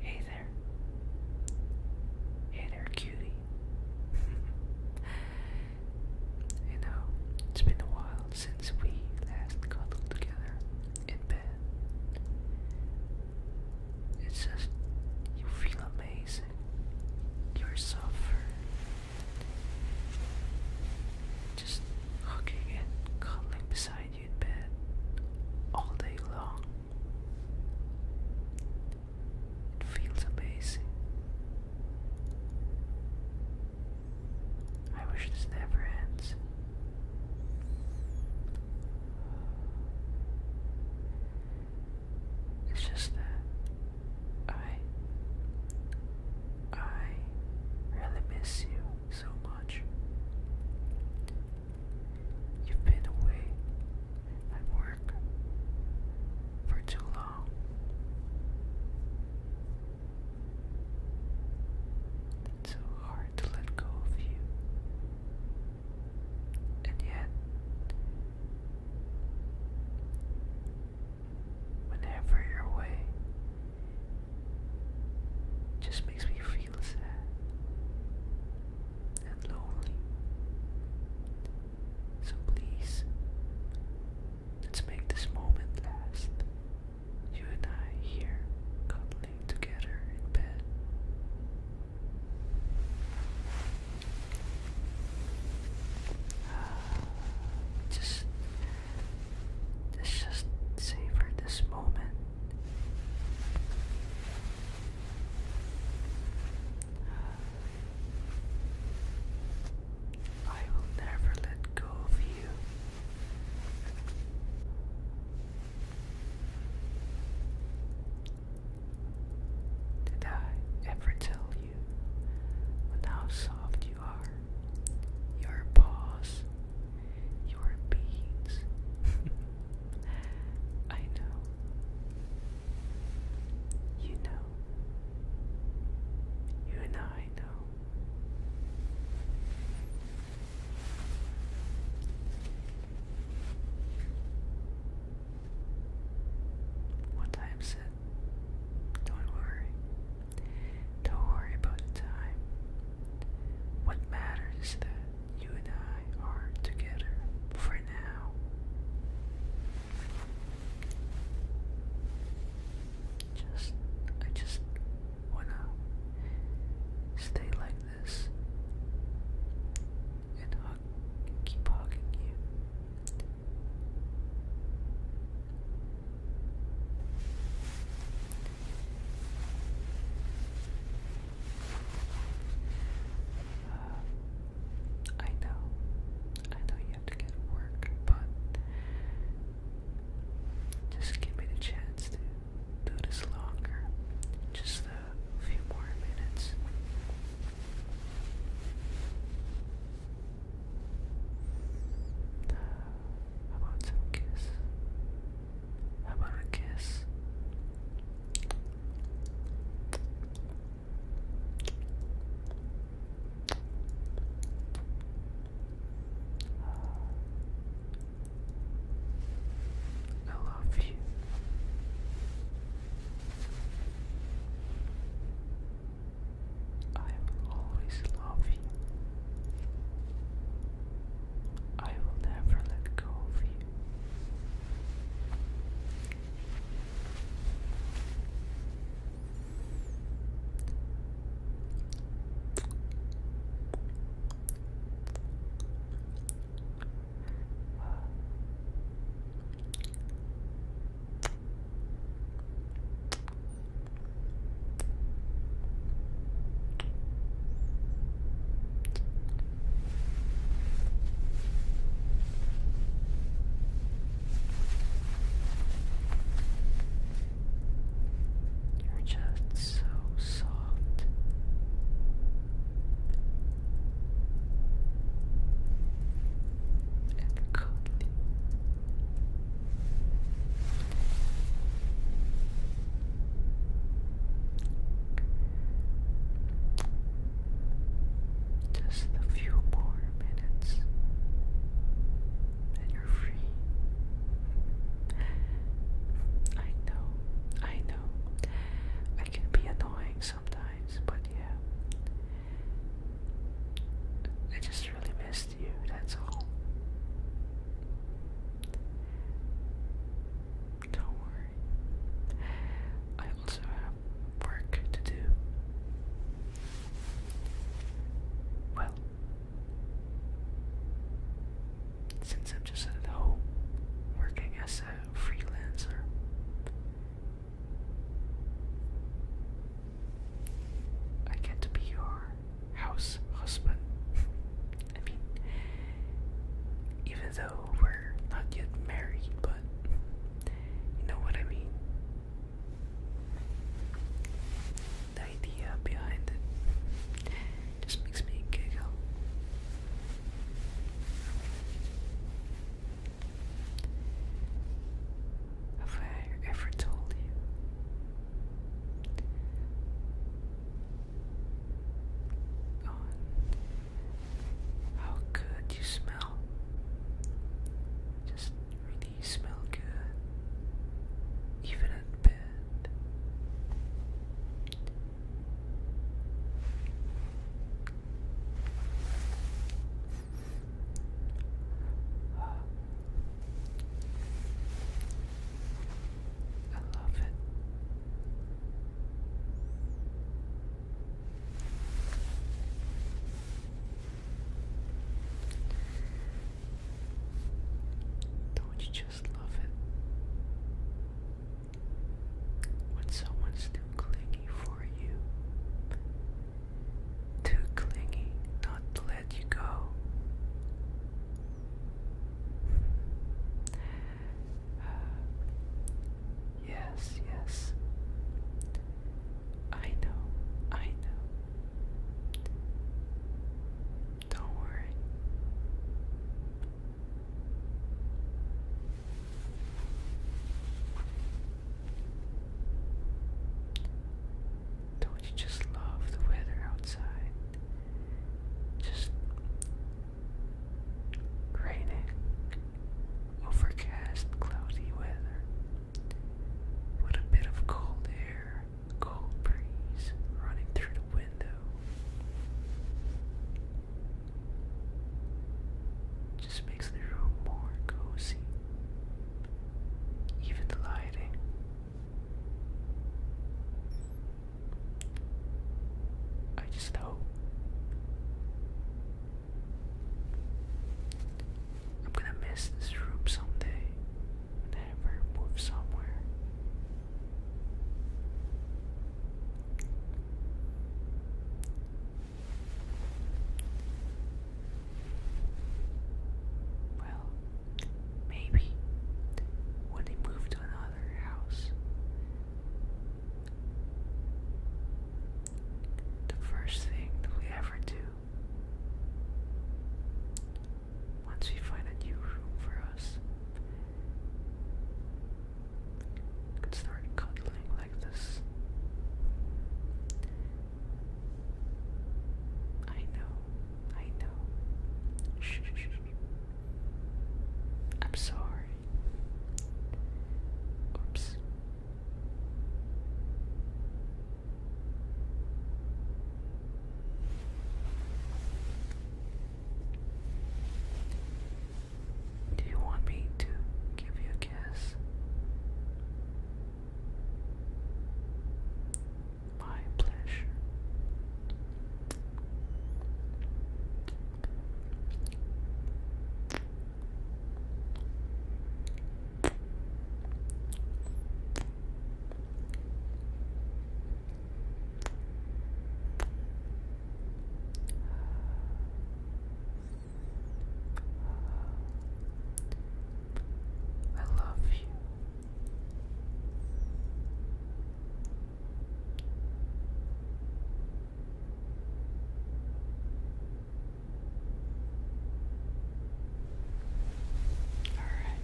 Hey there. Hey there, cutie. you know, it's been a while since we last cuddled together in bed. It's just, you feel amazing your suffer. Just hugging and cuddling beside you in bed all day long. It feels amazing. I wish this never ends. It's just that I I really miss you so much. You've been away at work for too long. It's so hard to let go of you. And yet, Whenever you're away, it just makes me feel sad and lonely. So please, let's make this moment last. You and I here, cuddling together in bed. Just, let's just savor this moment. I will never let go of you. Did I ever tell you how soft you are? Your paws, your beads. I know. You know. You and I know. What time is it? Don't worry. Don't worry about the time. What matters is that you and I are together for now. Just, I just wanna stay like this and hug, keep hugging you. Uh, I know, I know you have to get work, but just give me the chance to do this longer. Just uh, a few more minutes. How about some kiss? How about a kiss? I love you. I will always love you. I will never let go of you. You're just so soft and Just a few more minutes, and you're free. I know, I know. I can be annoying sometimes, but yeah. I just really missed you, that's all. Don't worry. I also have work to do. Well, since I'm just at home working as a freelancer. I get to be your house husband. I mean, even though we're not yet married, but you know what I mean. The idea behind it just makes me giggle. Have I ever told you? God, how good you smell. Just really smell good. Even at bed. I love it. Don't you just love it? when someone's too clingy for you. Too clingy not let you go. yes, yes. I know, I know. Don't worry. Don't you just love the weather outside? Just raining, overcast, cloudy weather. With a bit of cold air, cold breeze running through the window. Just makes the room more cozy. Even the lighting. I just hope I'm gonna miss this room someday whenever move somewhere. Well, maybe when they move to another house, the first thing that we ever do once we find a new room for us you start cuddling like this. I know, I know. shh. I'm sorry. Oops. Do you want me to give you a kiss? My pleasure. I love you. All right.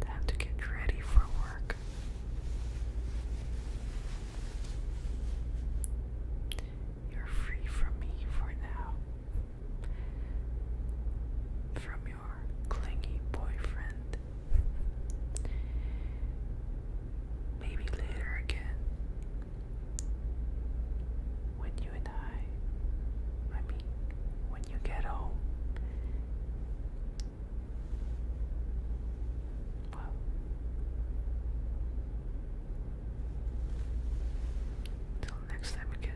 Time to get ready for work. You're free from me for now. From your clingy boyfriend. Maybe later again. When you and I, I mean, when you get home Whoa. Until next time again.